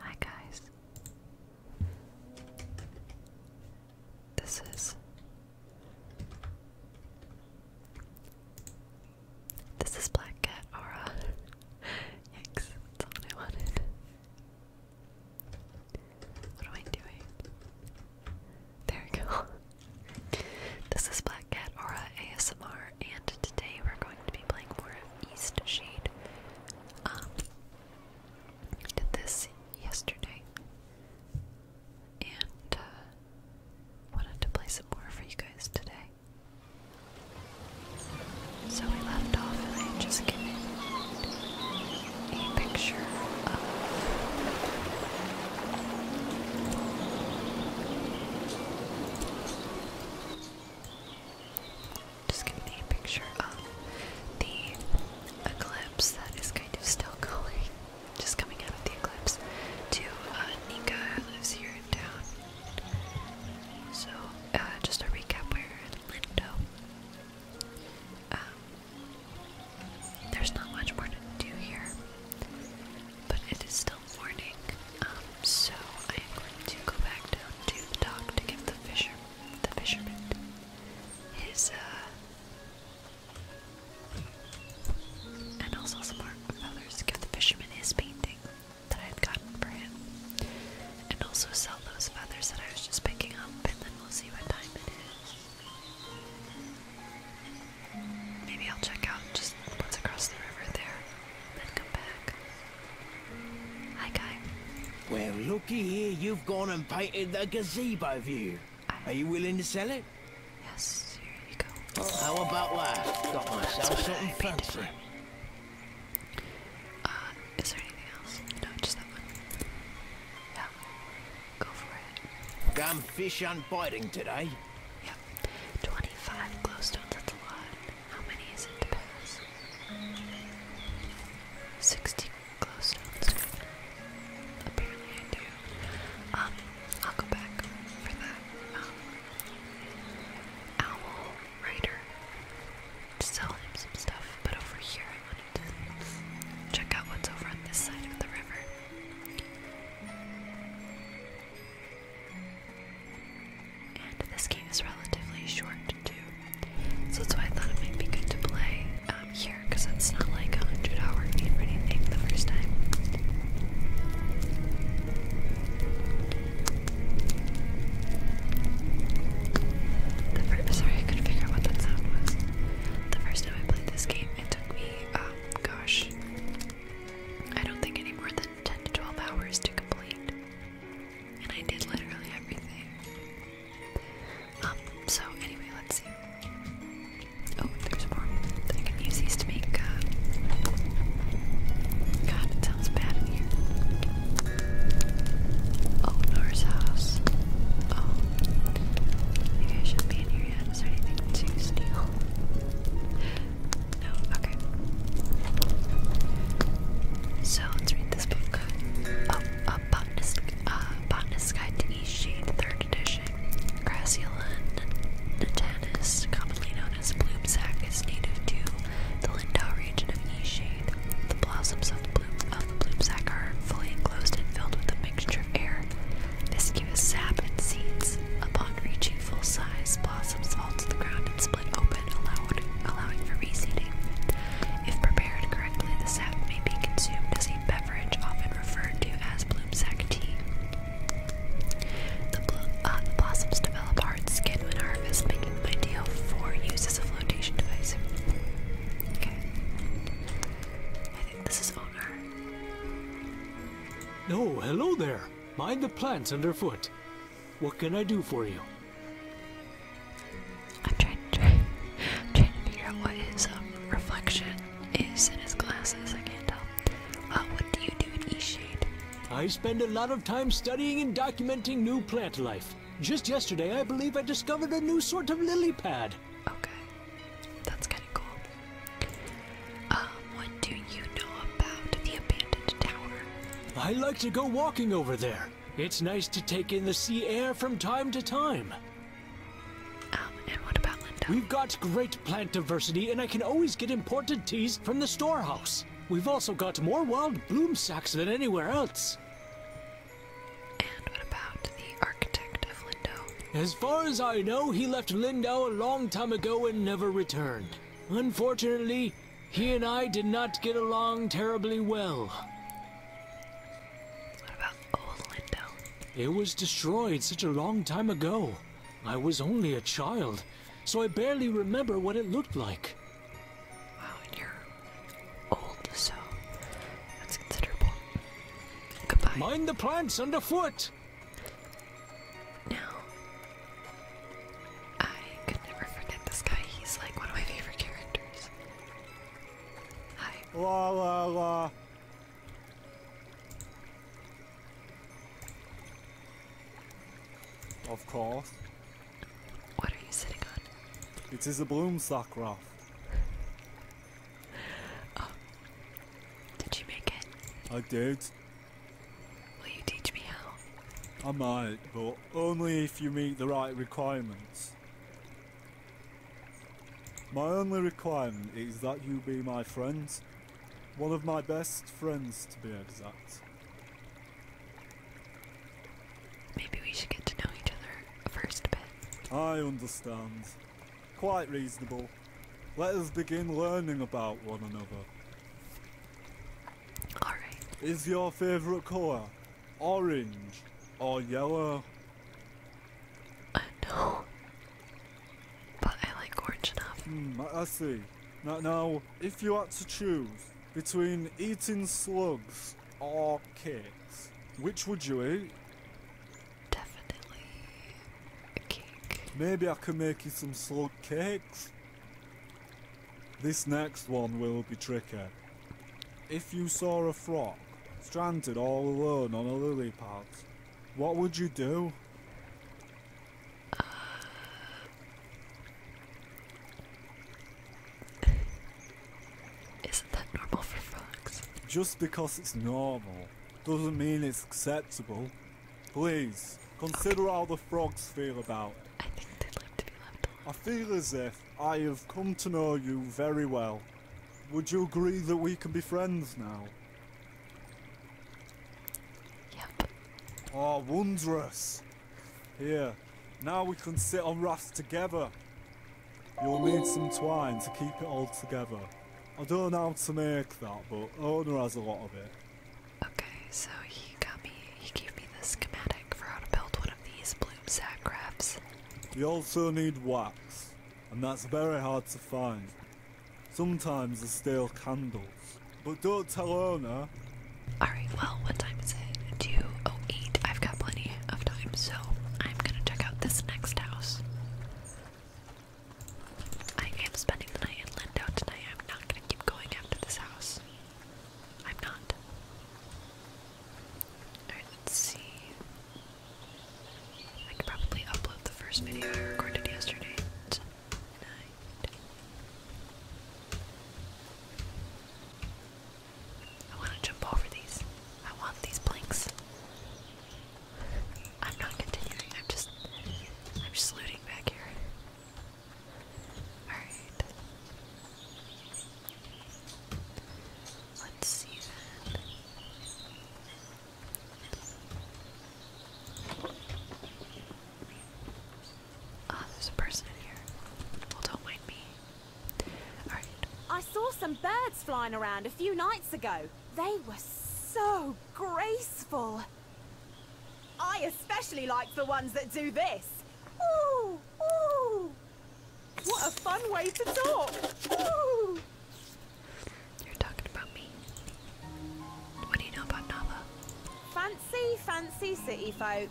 Hi guys. This is This is Black Cat Aura. Yikes, that's all I wanted. What am I doing? There we go. This is Black Cat Aura ASMR, and today we're going to be playing more East Shade. Um, did this yesterday, and uh, wanted to play some more for you guys today. So we left off, and I just gave a picture of just give me a picture of the eclipse that is kind of still going, just coming out of the eclipse, to uh, Nika here in town. So, uh, just a recap, we're in Lindo. Um, there's not much more to do here, but it is still morning, um, so I am going to go back down to the dock to give the fisher, the fisherman, his, uh, and also some more feathers. Give the fisherman his painting that I had gotten for him, and also sell those feathers that I was just picking up, and then we'll see what time it is. Maybe I'll check out just what's across the river there, then come back. Hi, Guy. Well, looky here, you've gone and painted the gazebo view. Are you willing to sell it? Yes, here you go. how about that? Got myself something fancy. Uh, is there anything else? No, just that one. Yeah, go for it. Damn fish aren't biting today. 25 glowstones, that's a lot. How many is it to pass? 60 glowstones. Apparently I do. Um, I'll go back for that. Um, Owl Rider. Sell him some stuff, but over here I wanted to check out what's over on this side of the river. And this game is relatively short too, so that's why I thought it might be good to play um, here because it's not like a hundred hour game or anything the first time. The first, sorry, I couldn't figure out what that sound was. The first time I played this game, it took me, um, gosh, I don't think any more than 10 to 12 hours to complete. And I did literally everything. Um, so anyway, let's see. Oh, there's more. I can use these to make, uh, God, it sounds bad in here. Oh, Nora's house. Oh. Maybe I should be in here yet. Is there anything to steal? No? Okay. So let's read this book. Oh, a botanist, uh, botanist guide to Ishii, third edition. Gracilan natanus, commonly known as bloom is native to the Lindau region of Ishii. The blossoms of the bloom are fully enclosed and filled with a mixture of air, the sap and seeds. Upon reaching full size, blossoms fall to the ground and split open, allowing for reseeding. If prepared correctly, the sap may be consumed as a beverage, often referred to as bloom sack tea. The, blo uh, the blossoms develop hard skin when harvested, making them ideal for use as a flotation device. Okay. I think this is owner. No, hello there. Mind the plants underfoot. What can I do for you? I'm trying to try, trying to figure out what his um, reflection is in his glasses. I can't tell. Uh, what do you do in each shade? I spend a lot of time studying and documenting new plant life. Just yesterday, I believe I discovered a new sort of lily pad. Okay, that's kind of cool. Um, what do you know about the abandoned tower? I like to go walking over there. It's nice to take in the sea air from time to time. Um, and what about Linda? We've got great plant diversity, and I can always get imported teas from the storehouse. We've also got more wild bloom sacks than anywhere else. And what about the architect of Lindo? As far as I know, he left Lindau a long time ago and never returned. Unfortunately, he and I did not get along terribly well. What about old Lindo? It was destroyed such a long time ago. I was only a child, so I barely remember what it looked like. Wow, you're old, so that's considerable. Goodbye. Mind the plants underfoot! Now, I could never forget this guy. He's like one of my favorite characters. Hi. La la la. Of course. What are you sitting on? It is a bloom sock, Ralph. oh. Did you make it? I did. Will you teach me how? I might, but only if you meet the right requirements. My only requirement is that you be my friend. One of my best friends, to be exact. Maybe we should get to know each other first bit. I understand. Quite reasonable. Let us begin learning about one another. Alright. Is your favourite colour orange or yellow? Uh, no. But I like orange enough. Hmm, I, see. Now, if you had to choose between eating slugs or cakes, which would you eat? Definitely a cake. Maybe I could make you some slug cakes. This next one will be tricky. If you saw a frog stranded all alone on a lily pad, what would you do? Isn't that normal for frogs? Just because it's normal doesn't mean it's acceptable. Please, consider how the frogs feel about. I think they'd like to be left I feel as if I have come to know you very well. Would you agree that we can be friends now? Yep. Ah, wondrous. Here, now we can sit on rafts together. You'll need some twine to keep it all together. I don't know how to make that, but Ona has a lot of it. Okay, so he got me, he gave me the schematic for how to build one of these bloom sack crafts. We also need wax, and that's very hard to find. Sometimes there's still candles, but don't tell Ona. Alright, well, what time is it? 2.08. I've got plenty of time, so I'm gonna check out this next house. I am spending the night in Lindau tonight. I'm not gonna keep going after this house. I'm not. Alright, let's see. I could probably upload the first video I recorded yesterday tonight. I want to jump over these. I want these blinks. I'm not continuing. I'm just, I'm just looting back here. Alright. Let's see Ah, there's a person in here. Well, don't mind me. Alright. I saw some birds flying around a few nights ago. They were so graceful. I especially like the ones that do this. What a fun way to talk. You're talking about me. What do you know about Nava? Fancy, fancy city folk.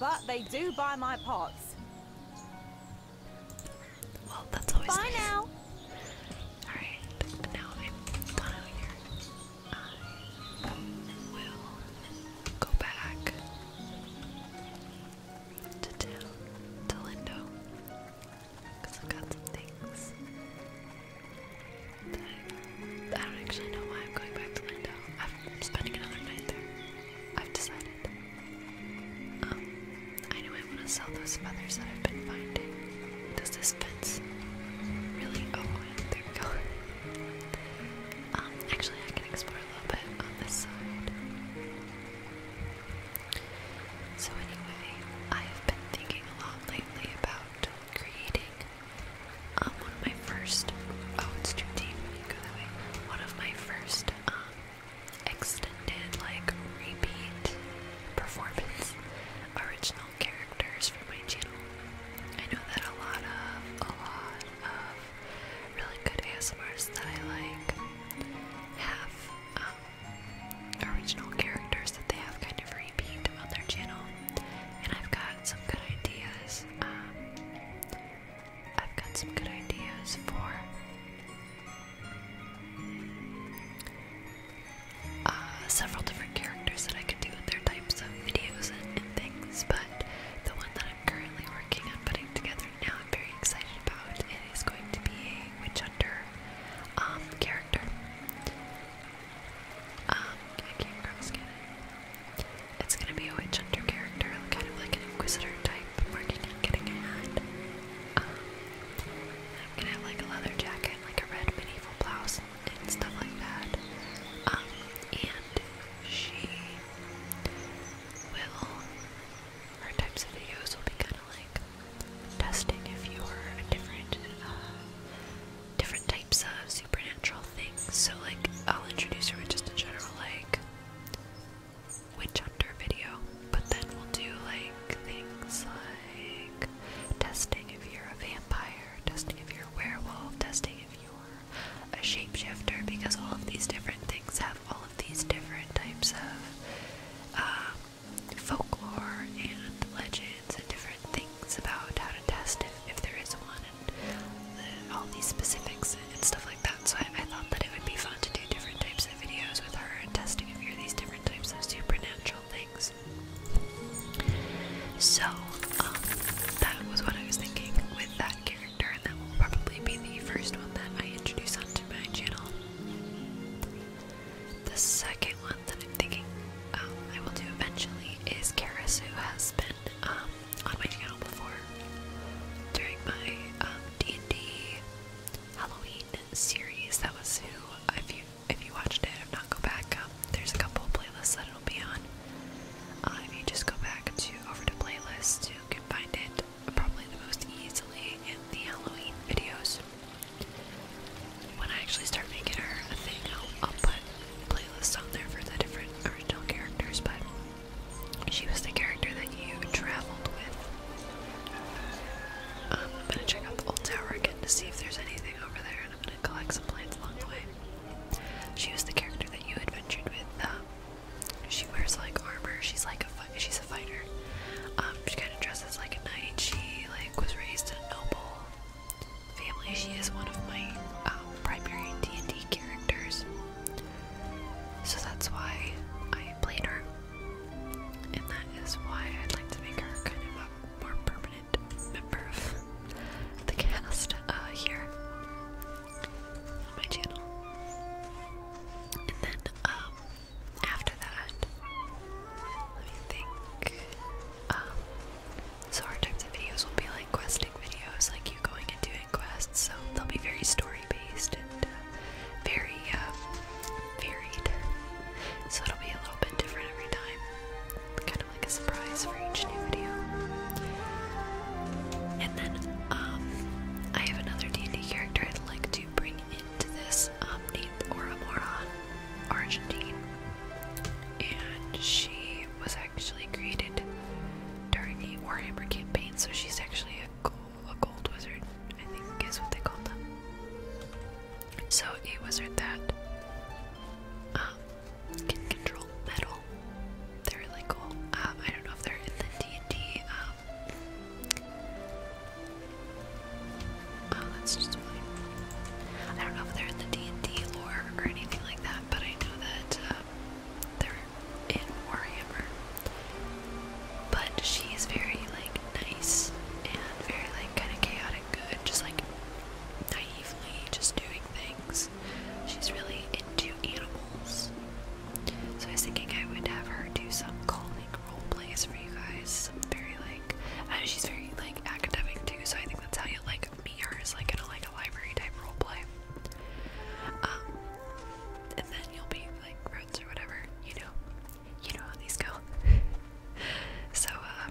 But they do buy my pots. Well, that's always Bye nice. now. now I will go back to town, to Lindo, because I've got some things I don't actually know why I'm going back to Lindo. I'm spending another night there. I've decided. Um, I know I want to sell those feathers that I've been finding. Does this um, so, anyway, I've been thinking a lot lately about creating um, one of my first. Oh, it's too deep. One of my first um, extended, like, repeat performance. Original characters for my channel. I know that a lot of a lot of really good ASMRs that I like have um, original characters that they have kind of repeat on their channel, and I've got some good ideas. Um, I've got some good ideas for uh, several different characters that I could do with their types of videos and, things, but the one that I'm currently working on putting together now, I'm very excited about. It is going to be a witch hunter um, character. Um, I can it. It's gonna be a witch hunter character, kind of like an inquisitor type, working um, and getting ahead. Um, I'm gonna have like a leather jacket, like a red medieval blouse, and stuff like that. Um, and she will, her types of videos will be kind of like testing if you are a different, uh, different types of supernatural things. So, like, I'll introduce her with just a general, like, witch hunter video, but then we'll do, like, things like testing if you're a vampire vampire, testing if you're a werewolf, testing if you're a shapeshifter, because all of these different things have all of these different types of um, folklore and legends and different things about how to test if, if there is one, and the, all these specifics and stuff like that. So I, I thought that it would be fun to do different types of videos with her and testing if you're these different types of supernatural things. So, um, that was what I was thinking with that character, and that will probably be the first one that I introduce onto my channel. The second one that I'm thinking um, I will do eventually is Karis, who has been um, on my channel before during my D&D Halloween series. That was who, if you if you watched it, if not, go back. Um, there's a couple playlists that it'll be on. Uh, if you just go back to over to playlists, you can find it probably the most easily in the Halloween videos. When I actually start making her a thing, I'll, put playlists on there for the different original characters, but she was the character that you traveled with. Um, I'm gonna check out the old tower again to see if there's anything over there, and I'm gonna collect some plants along the way. She was the character that you adventured with. Um, she wears like armor. She's like a she's a fighter. Um, she kind of dresses like a knight. She like was raised in a noble family. She is one of my um, primary D and D characters, so that's why I played her, and that is why I'd like to make her kind of a more permanent member of the cast uh, here on my channel. And then um, after that, let me think. Um, so our types of videos will be like questing videos, like you going and doing quests. So they'll be very story based and uh, very uh, varied. So it'll be a little bit different every time kind of like a surprise for each new video. And then um, I have another D&D character I'd like to bring into this, um, named Argentine. And she was actually created during the Warhammer campaign, so she's actually a gold, wizard, I think is what they called them. So a wizard that um, can control metal. They're really cool. Um, I don't know if they're in the D&D. Um, oh, that's just I don't know if they're in the D&D lore or anything like that, but I know that um, they're in Warhammer. But she's very, like, nice and very, like, kind of chaotic good, just, like, naively just doing things she's really into animals. So I was thinking I would have her do some calling role plays for you guys. Some very like, I know she's very like academic too, so I think that's how you like meet her is like in a like a library type role play. Um, and then you'll be like friends or whatever, you know, you know how these go. so uh,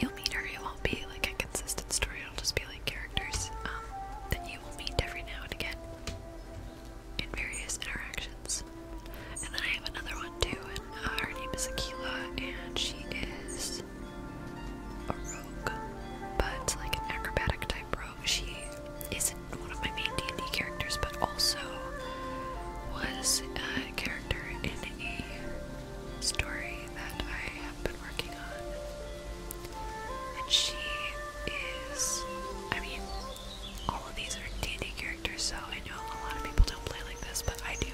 you'll meet her. It won't be like a consistent story. It'll just be like characters um, that you will meet every now and again in various interactions. And then I have another one too, uh, her name is Akila, and she is a rogue, but like an acrobatic type rogue. She isn't one of my main D&D characters, but also was a character in a story that I have been working on. And she is, I mean, all of these are D&D characters, so I know a lot of people don't play like this, but I do.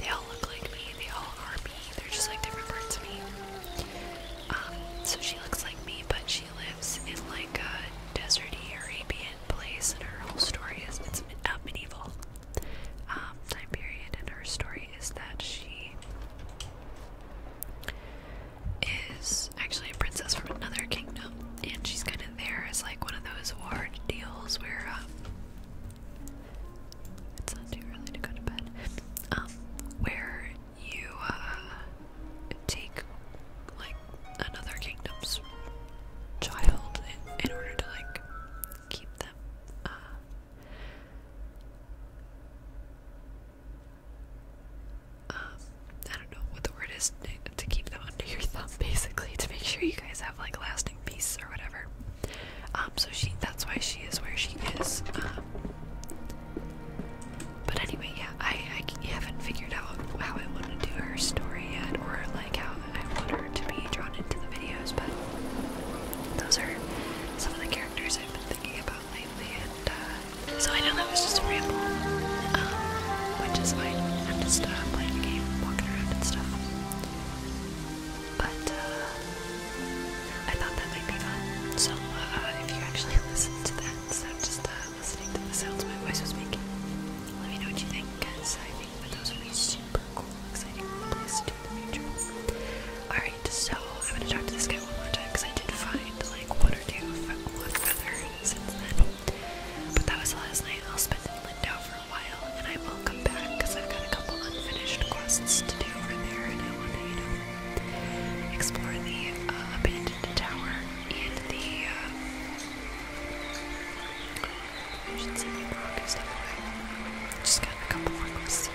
They all look like me, they all are me, they're just like different parts of me. Um, so she looks like me, but she lives in like a deserty Arabian place, and her whole story is it's uh, medieval. Um, time period in her story is that she is actually a princess from another kingdom, and she's kind of there as like one of those ward deals where um, it's not too early to go to bed, um, where you uh, take like another kingdom's child in, order to like keep them uh, um, I don't know what the word is to keep them under your thumb, basically, to make sure you guys have like lasting peace or whatever. Um, so she that's why she is where she is. Um, but anyway, yeah, I, I haven't figured out how I want to do her story yet, or like how I want her to be drawn on into the videos, but those are some of the characters I've been thinking about lately. Uh, so I know that was just a ramble, um, which is fine. I'm just uh, walking around and stuff. But uh, I thought that might be fun. So uh, if you actually listen to that instead just listening to the sounds my voice was making, let me know what you think, because I think those would be super Alright, so I'm gonna talk to this guy one more time because I did find like one or two one feather since then. But that was last night. I'll spend in Lindau for a while and I will come back because I've got a couple unfinished quests to do over there and I want to, you know, explore the uh, abandoned tower and the. Uh, I Just got a couple more quests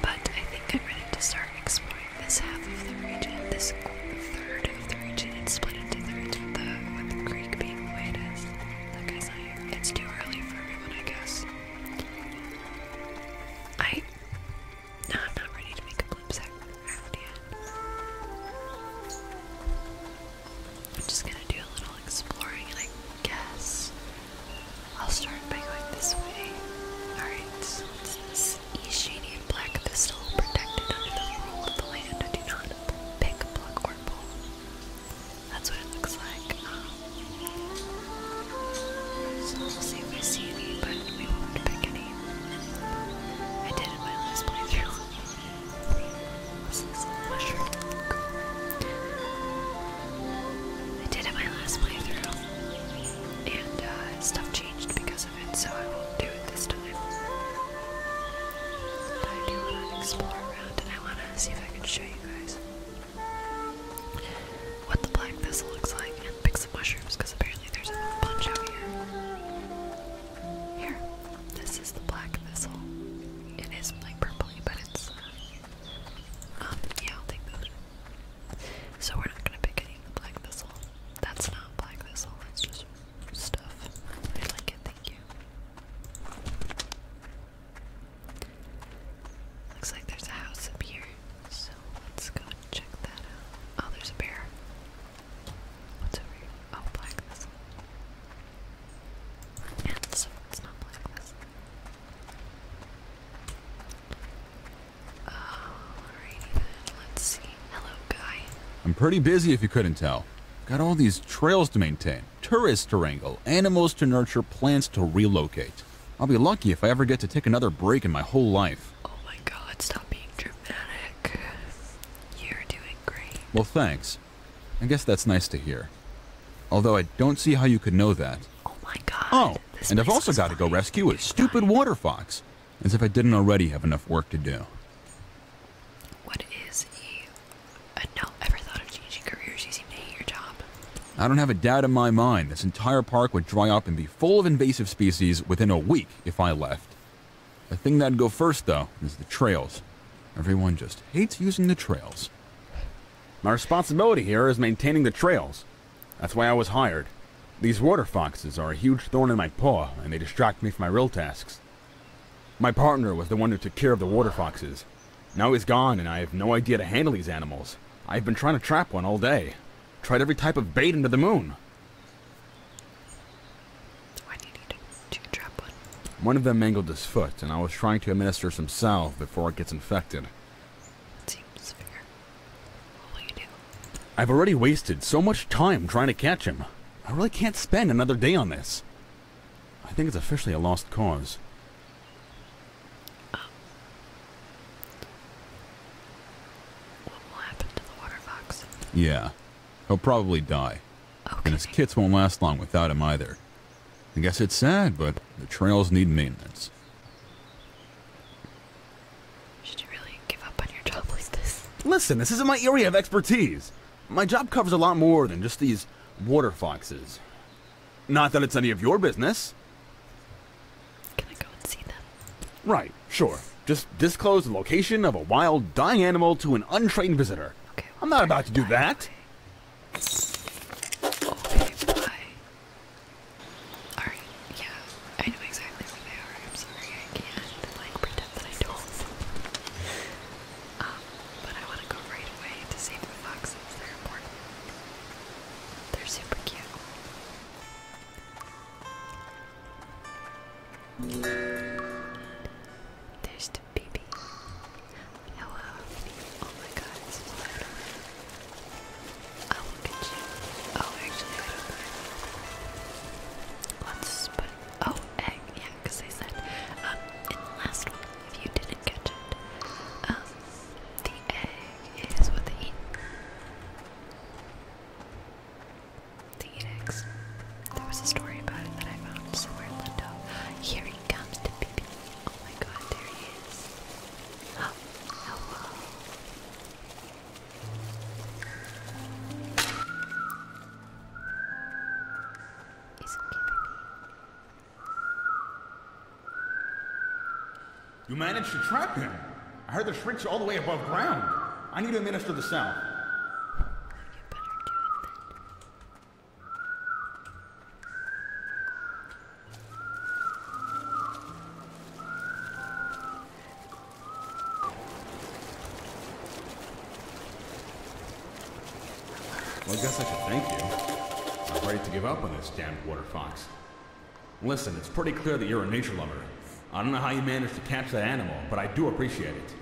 But I think I'm ready to start exploring this half of the region, this third of the region, and split it into thirds with the, creek being the way it is. That It's too early for everyone, I guess. I. No, I'm not ready to make a clip sack I'm just gonna do a little exploring, and I guess I'll start by going this way. Alright, so it's this black thistle protected under the rule of the land. Do not pick, pluck, or pull. That's what it looks like. Um, so we'll see if we see any, but we won't pick any. I did in my last playthrough. I did it my last playthrough, and uh, stuff changed because of it, so I won't do it this time. But I do want to explore around, and I want to see if I can show you guys what the black thistle looks like and pick some mushrooms because apparently there's a bunch out here. Here, this is the black thistle. It is like purpley, but it's um, yeah, I'll So we're not gonna pick any the black thistle. That's not black thistle, that's just stuff. I like it, thank you. Looks like there's a house up here, so let's go check that out. Oh, there's a bear. What's over here? Oh, black thistle. Oh, I'm pretty busy if you couldn't tell. Got all these trails to maintain, tourists to wrangle, animals to nurture, plants to relocate. I'll be lucky if I ever get to take another break in my whole life. Oh my god, stop being dramatic. You're doing great. Well, thanks. I guess that's nice to hear. Although I don't see how you could know that. Oh my god. Oh, and I've also got to go rescue a stupid water fox. As if I didn't already have enough work to do. What is you? Uh, I no, ever thought of changing careers. You seem to hate your job. I don't have a doubt in my mind. This entire park would dry up and be full of invasive species within a week if I left. The thing that'd go first, though, is the trails. Everyone just hates using the trails. My responsibility here is maintaining the trails. That's why I was hired. These water foxes are a huge thorn in my paw, and they distract me from my real tasks. My partner was the one who took care of the water foxes. Now he's gone, and I have no idea to handle these animals. I've been trying to trap one all day. Tried every type of bait under the moon. I need you to, to trap one. One of them mangled his foot, and I was trying to administer some salve before it gets infected. Seems fair. What will you do? I've already wasted so much time trying to catch him. I really can't spend another day on this. I think it's officially a lost cause. Um, what will happen to the water Yeah. He'll probably die. And his kits won't last long without him either. I guess it's sad, but the trails need maintenance. Should you really give up on your job like this? Listen, this isn't my area of expertise. My job covers a lot more than just these water foxes. Not that it's any of your business. Can I go and see them? Right, sure. Just disclose the location of a wild, dying animal to an untrained visitor. I'm not about to do that. Okay, bye. Alright, yeah, I know exactly where they are. I'm sorry, I can't, like, pretend that I don't. um, but I want to go right away to save the foxes. They're important. They're super cute. There's the BB. Hello. Oh my god, I'll oh, look you. Oh, actually, I don't Let's put. Oh, egg. Yeah, because they said um, in the last one, if you didn't catch it, um, the egg is what they eat. They eggs. There was a story about it that I found somewhere in Lindo. Here comes to BB. Oh my god, there he is. Oh, hello. It's okay, baby. You managed to trap him. I heard the shrieks all the way above ground. I need to administer the sound. you better do it I guess I should thank you. I'm ready to give up on this damned water fox. Listen, it's pretty clear that you're a nature lover. I don't know how you managed to catch that animal, but I do appreciate it.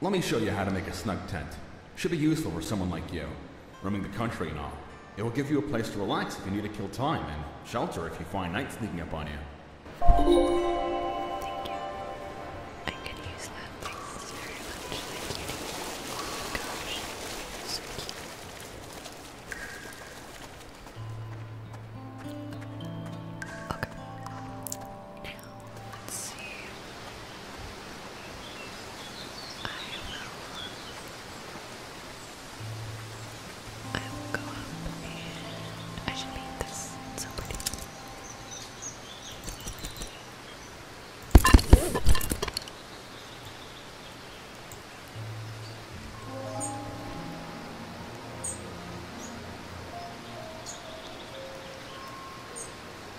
Let me show you how to make a snug tent. Should be useful for someone like you, roaming the country and all. It will give you a place to relax if you need to kill time, and shelter if you find night sneaking up on you. Thank you. I can use that. Thanks very much. Thank you. Oh my gosh. So cute. Okay. Now, let's see. I will, I will go up I should paint this. It's pretty.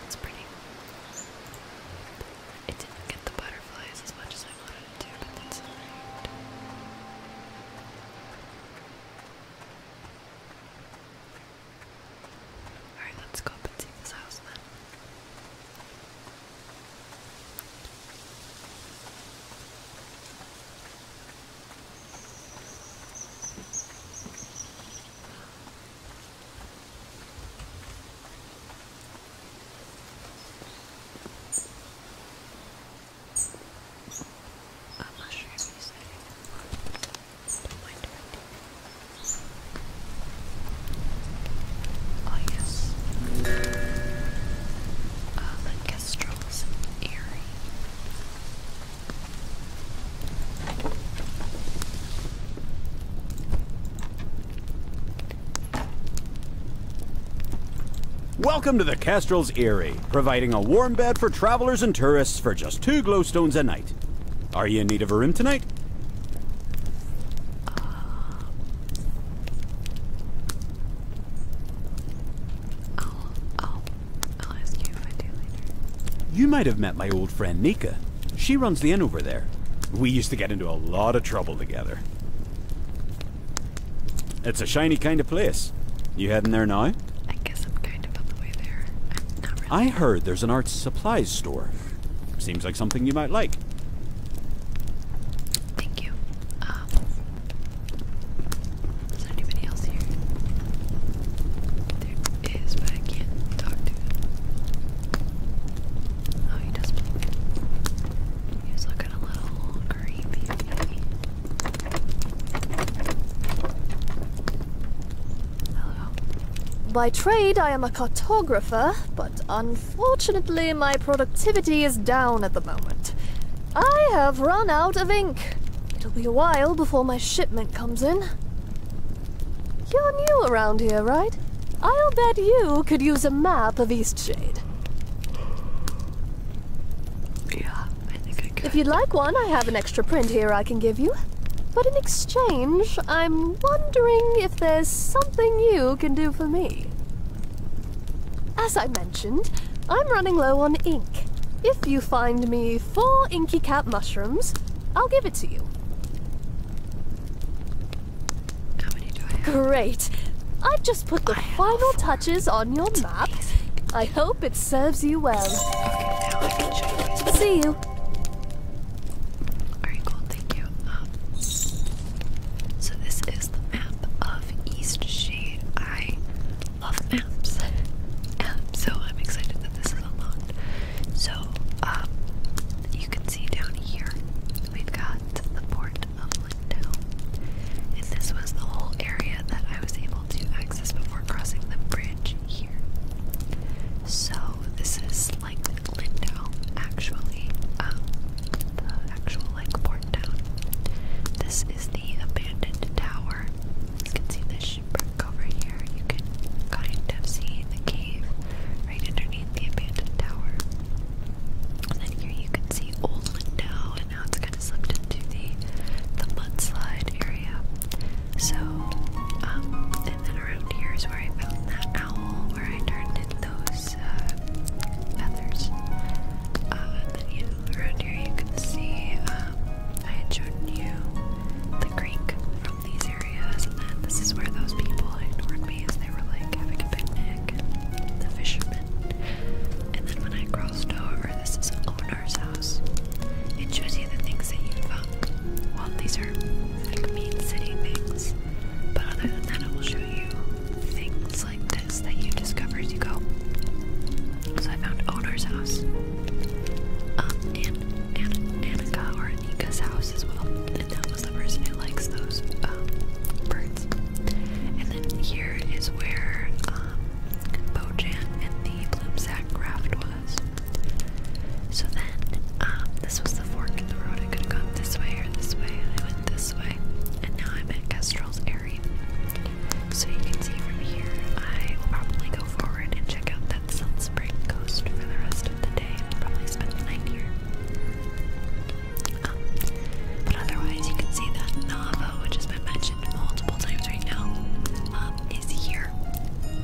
It's pretty. It didn't get the butterflies as much as I wanted it to, but that's alright. Alright, let's go up and see this house then. I'm not sure if you said it Don't mind it. Oh yes. Uh, the kestrel's eerie. Welcome to the Castrel's Eyrie, providing a warm bed for travelers and tourists for just two glowstones a night. Are you in need of a room tonight? You might have met my old friend Nika. She runs the inn over there. We used to get into a lot of trouble together. It's a shiny kind of place. You heading there now? I guess I'm kind of on the way there. I'm not really. I heard there's an art supplies store. Seems like something you might like. Thank you. Um, is there anybody else here? There is, but I can't talk to Oh, By trade, I am a cartographer, but unfortunately, my productivity is down at the moment. I have run out of ink. It'll be a while before my shipment comes in. You're new around here, right? I'll bet you could use a map of Eastshade. Yeah, I think I could. If you'd like one, I have an extra print here I can give you. But in exchange, I'm wondering if there's something you can do for me. As I mentioned, I'm running low on ink. If you find me four inky cap mushrooms, I'll give it to you. Great. I've just put the final touches on your map. I hope it serves you well. See you. Alright, cool, thank you. Um, so this is the map of East I love maps. so I'm excited that this is unlocked. So, uh, you can see down here, we've got the port of Lindau. And this was the whole area that I was able to access before crossing the bridge here. So, this is like Lindau, actually, um, the actual like port town. This is the abandoned tower. You can see the shipwreck over here. You can kind of see the cave right underneath the abandoned tower. And then here you can see old Lindau and how it's kind of slipped into the the mudslide area. So, um, and then around here is where I found that owl, where I turned in those uh, feathers. Uh, and then, around here you can see um, I had shown you the creek these areas, and then this is where those people ignored me as they were like having a picnic. The fishermen. And then when I crossed over, this is owner's house. It shows you the things that you found. Well, these are like mean city things. But other than that, it will show you things like this that you discover as you go. So I found owner's house. Um, and An Annika or Nika's house as well, and that was the person who likes those um, birds. And then here is where um, Bojan and the Bloomsack craft was. So then, um, this was the fork in the road. I could have gone this way or this way, I went this way, and now I'm at Kestrel's area. So you can see from here, I will probably go forward and check out that South Spring Coast for the rest of the day. Probably spend the night here but otherwise, you can see that Nava, which has been mentioned multiple times right now, um, is here.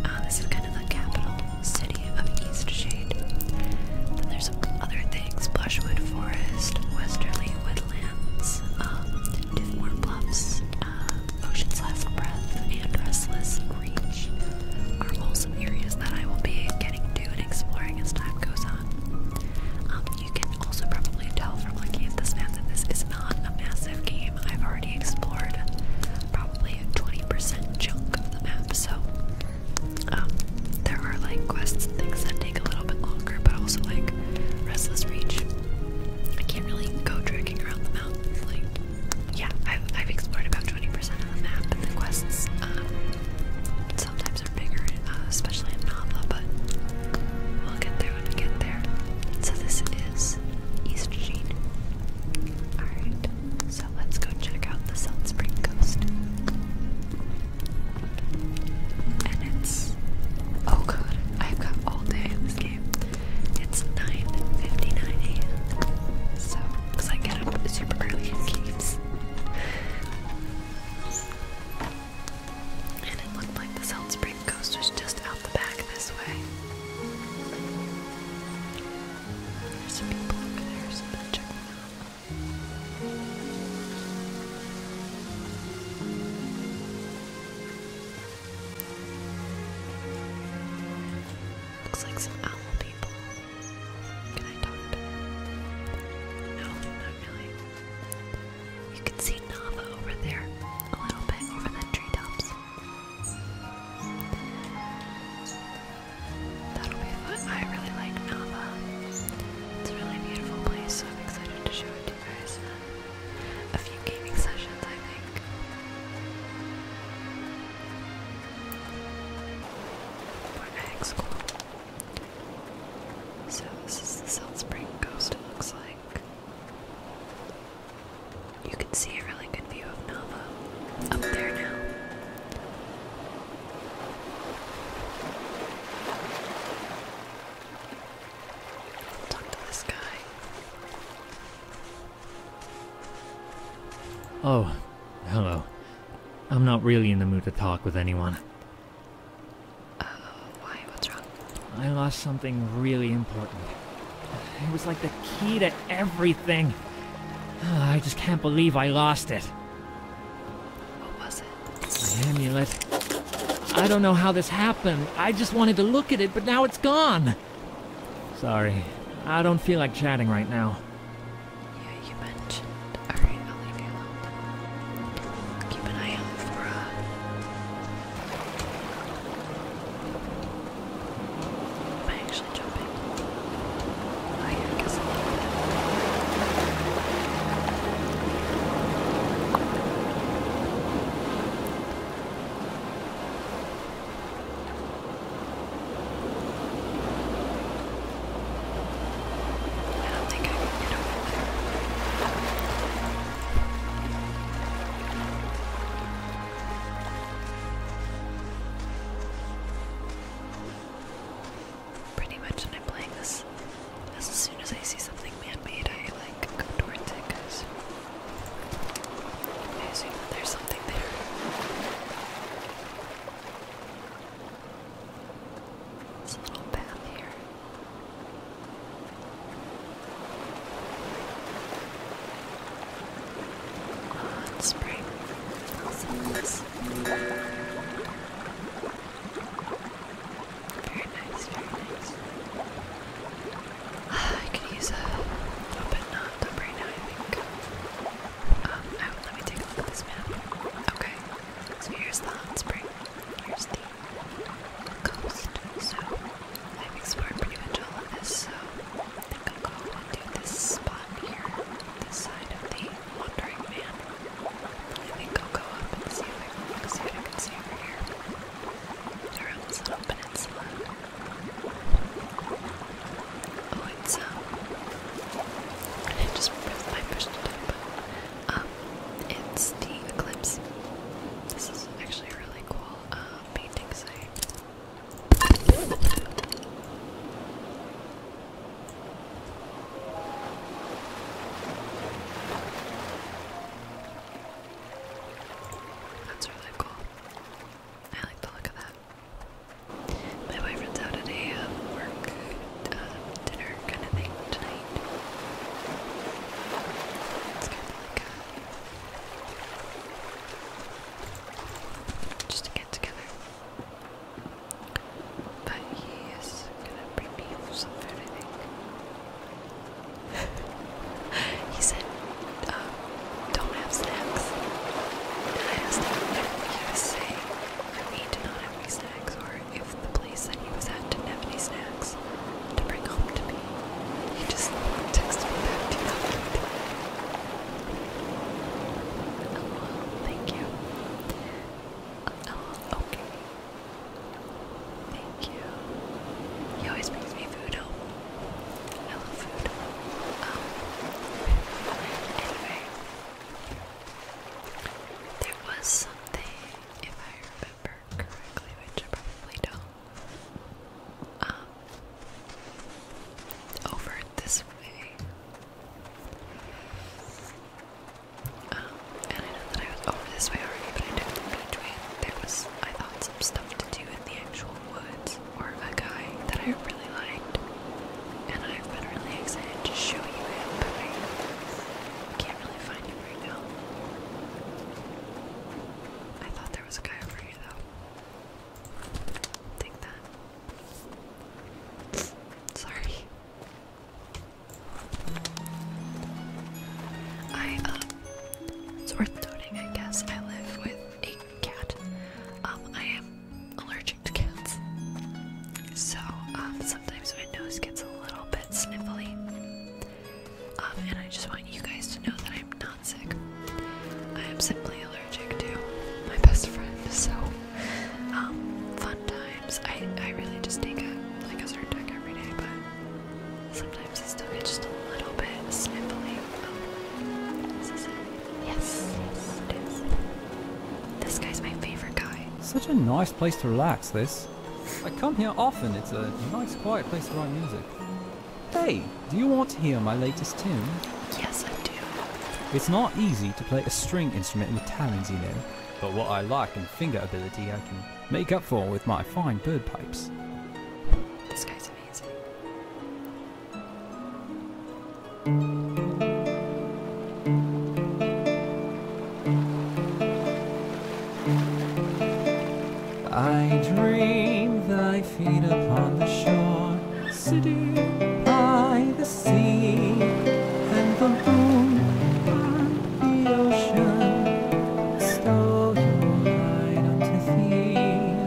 Uh, this is kind of the capital city of East Shade. Then there's some other things Bushwood Forest, Westerly Woodlands, um, Bluffs, uh, Ocean's Last Breath, and Restless Reach are all some areas that I will be getting and exploring as time goes on. Um, you can also probably tell from looking at this map that this is not a massive game. I've already explored probably a 20% chunk of the map, so um, there are like quests and things that take a little bit longer, but also like Restless Reach. I can't really go trekking around the mountains. Like, yeah, I've, explored about 20% of the map, and the quests um, Sometimes they're bigger, uh, especially in Nama, but we'll get there when we get there. So this is East Sheen. Alright, so let's go check out the Salt Spring Coast. And it's oh god, I've got all day in this game. It's 9:59 a.m. So, I get up super early and it looked like the Salt Spring Coast was just out the back this way. There's some people over there, Looks like some owl people. Can I talk to them? No, not really. You can see Nava over there, a little bit over the treetops. That'll be fun. I really like Nava. It's a really beautiful place, so I'm excited to show it to you guys a few gaming sessions, I think. So this is the South Spring coast, it looks like. You can see a really good view of Nava up there now. talk to this guy. Oh, hello. I'm not really in the mood to talk with anyone. Uh, why? What's wrong? I lost something really important. It was like the key to everything. Ah, I just can't believe I lost it. What was it? My amulet. I don't know how this happened. I just wanted to look at it, but now it's gone. Sorry. I don't feel like chatting right now. Yeah, you mentioned. Alright, I'll leave you alone. Keep an eye out for uh, Am I actually jumping? Oh, I guess I am. Pretty much when I'm playing this, as soon as I see something man-made, I like go towards it because I assume that there's something there. There's a little path here. On oh, spring. Blossoms. Very nice, very nice. Ah, I could use a little bit knocked up right um, let me take a look at this map. Okay, so here's the hot spring, here's the coast. So I've explored pretty much all of this, so I think I'll go and do this spot here, this side of the Wandering Man. I think I'll go up and see if I can see I can see over here around this little peninsula. Oh, it's, um, I just pressed my push to um, it's the Eclipse. This is actually a really cool, uh, painting site. That's really cool. I like the look of that. My boyfriend's out at um, work um, dinner kind of thing tonight. Uh, just to get together. But he is gonna bring me some he said, um, don't have snacks. I asked him what he was saying for me not have any snacks, or if the place that he was at didn't have any snacks to bring home to me. He just texted me back to you. Oh, well, thank you. Oh, okay. Thank you. He always brings me food oh, I love food. Um, anyway. There was something, if I remember correctly, which I probably don't, um, over this way. Um, and I know that I was over this way already, but I took the beach way. There was, I thought, some stuff to do in the actual woods, or a guy that I really like night, and I've been really excited to show you it, but I can't really find it right now. I thought there was a guy over here though. Take that. Sorry. I, um, it's worth noting, I guess, I live with a cat. Um, I am allergic so um, sometimes my nose gets a little bit sniffly. Um, and I just want you guys to know that I'm not sick. I am simply allergic to my best friend. So um, fun times. I, I really just take a like a Zyrtec every day, but sometimes I still get just a little bit sniffly. Oh, Yes, yes, it is. This guy's my favorite guy. Such a nice place to relax, this. I come here often. It's a nice, quiet place to write music. Hey, do you want to hear my latest tune? Yes, I do. It's not easy to play a string instrument with talons, you know, but what I lack in finger ability, I can make up for with my fine bird pipes. This guy's amazing. I dream thy feet upon the shore, sitting by the sea, and the moon on the ocean stole your light unto thee.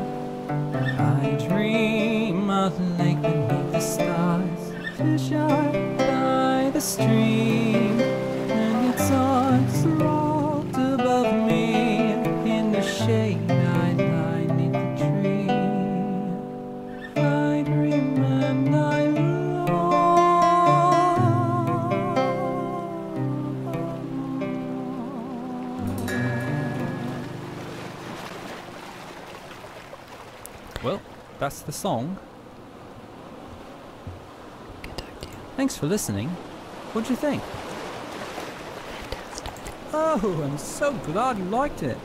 I dream of the lake beneath the stars. Fish by the stream, and its arms rolled above me in the shade I lie neath the tree. I dream and I love. Well. That's the song. Good talk Thanks for listening. what do you think? Oh, I'm so glad you liked it.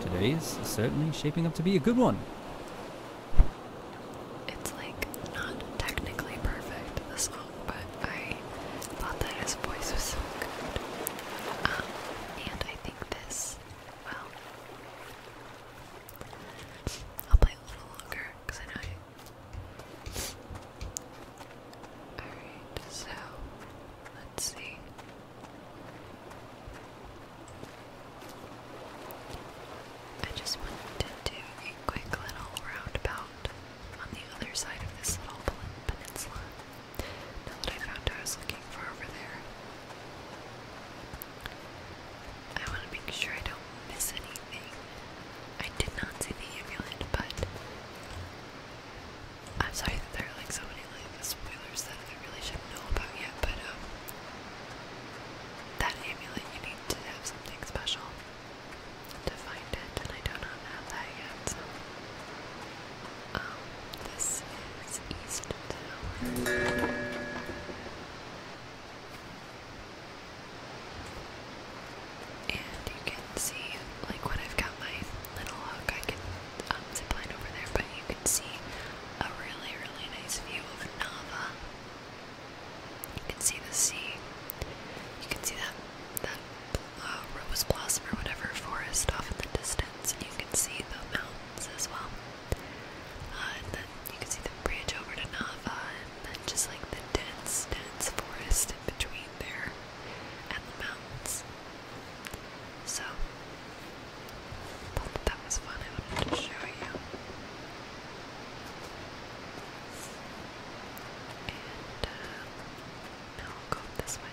Today is certainly shaping up to be a good one. It's like not technically perfect, the song, but I thought that his voice was so good. Um, and I think this well, I'll play a little longer because I know I. Alright, so let's see. I just wanted to do a quick little roundabout on the other side of this little peninsula. that I found I was looking for over there, I want to make sure I don't miss anything. I did not see the amulet, but I'm sorry that there are like so many like spoilers that I really shouldn't know about yet, but um that amulet you need to have something special to find it and I do not have that yet, so um, this is East Tower. And you can see, like when I've got my little hook, I can um, zipline over there, but you can see a really, really nice view of Nava. You can see the sea. You can see that that uh, rose blossom or whatever forest off in the distance, and you can see the mountains as well. Uh, and then you can see the bridge over to Nava, and then just like the dense, dense forest in between there and the mountains. So, thought that, that was fun. I wanted to show you. And now uh, go this way.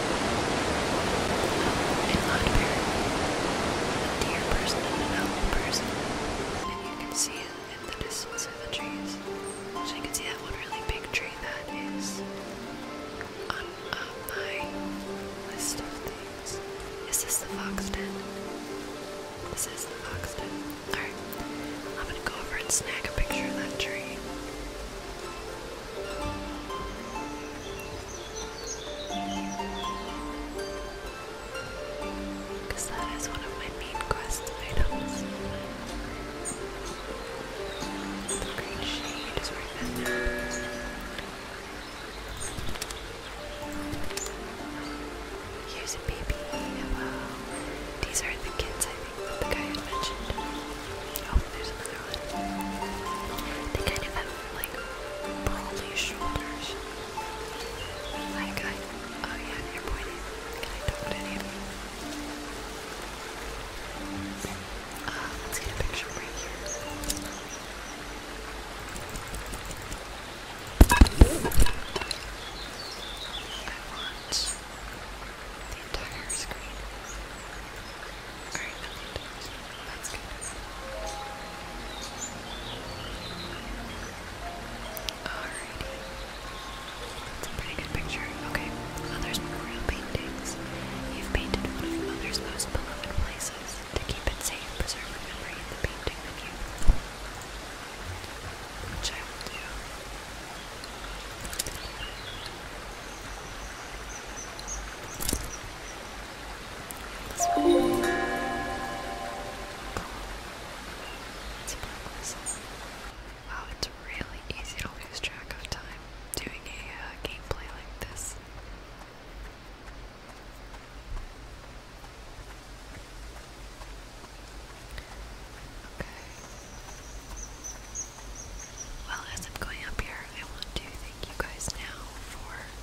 and not very dear person and an old person. And you can see it in the distance of the trees. So you can see that one really big tree that is on my list of things. Is this the fox den? This is the fox den. Alright, I'm gonna go over and snag a picture of that tree. Because that is one of my main quest items. The green shade is right there. Here's a baby. Wow. These are the kids I think that the guy had mentioned. Oh, there's another they kind of have like broadly shoulders. Like I, oh yeah, you're Can I talk to uh, let's get a picture right here. I want the entire screen. Alright, that's good. Alrighty. That's a pretty good picture. Okay, Mother's Memorial Paintings. you painted one of Mother's most beloved places. To keep it safe, preserve her memory in the painting Which I will do. It's Wow, it's really easy to lose track of time doing a uh, gameplay like this. Okay. Well, as I'm going up here, I want to thank you guys now for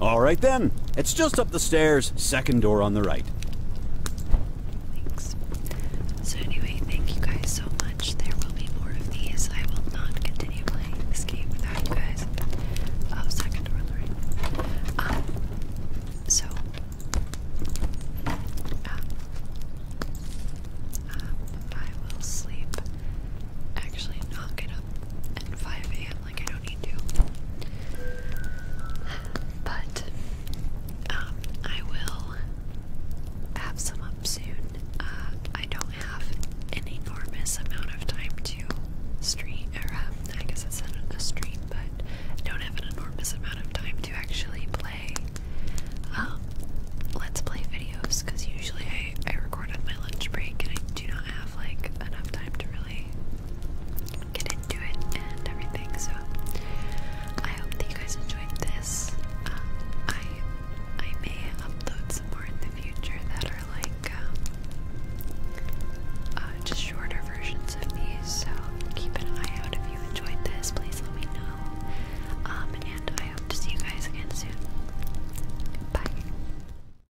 All right then. It's just up the stairs, second door on the right. Thanks. So anyway, thank you guys so much. There will be more of these. I will not continue playing this game without you guys. Oh, second door on the right. Um, so, um, um, I will sleep actually not get up at 5 a.m. like I don't need to. But um, I will have some up soon. Uh, I don't have an enormous amount of time to stream, or uh, I guess it's the stream, but don't have an enormous amount of time to actually play um, Let's Play videos because usually I, I record on my lunch break and I do not have like enough time to really get into it and everything. So I hope that you guys enjoyed this. Um, I I may upload some more in the future that are like um, uh, just shorter versions of these. So keep an eye out if you enjoyed this. Please let me know. Um, and I hope to see you guys again soon. Bye.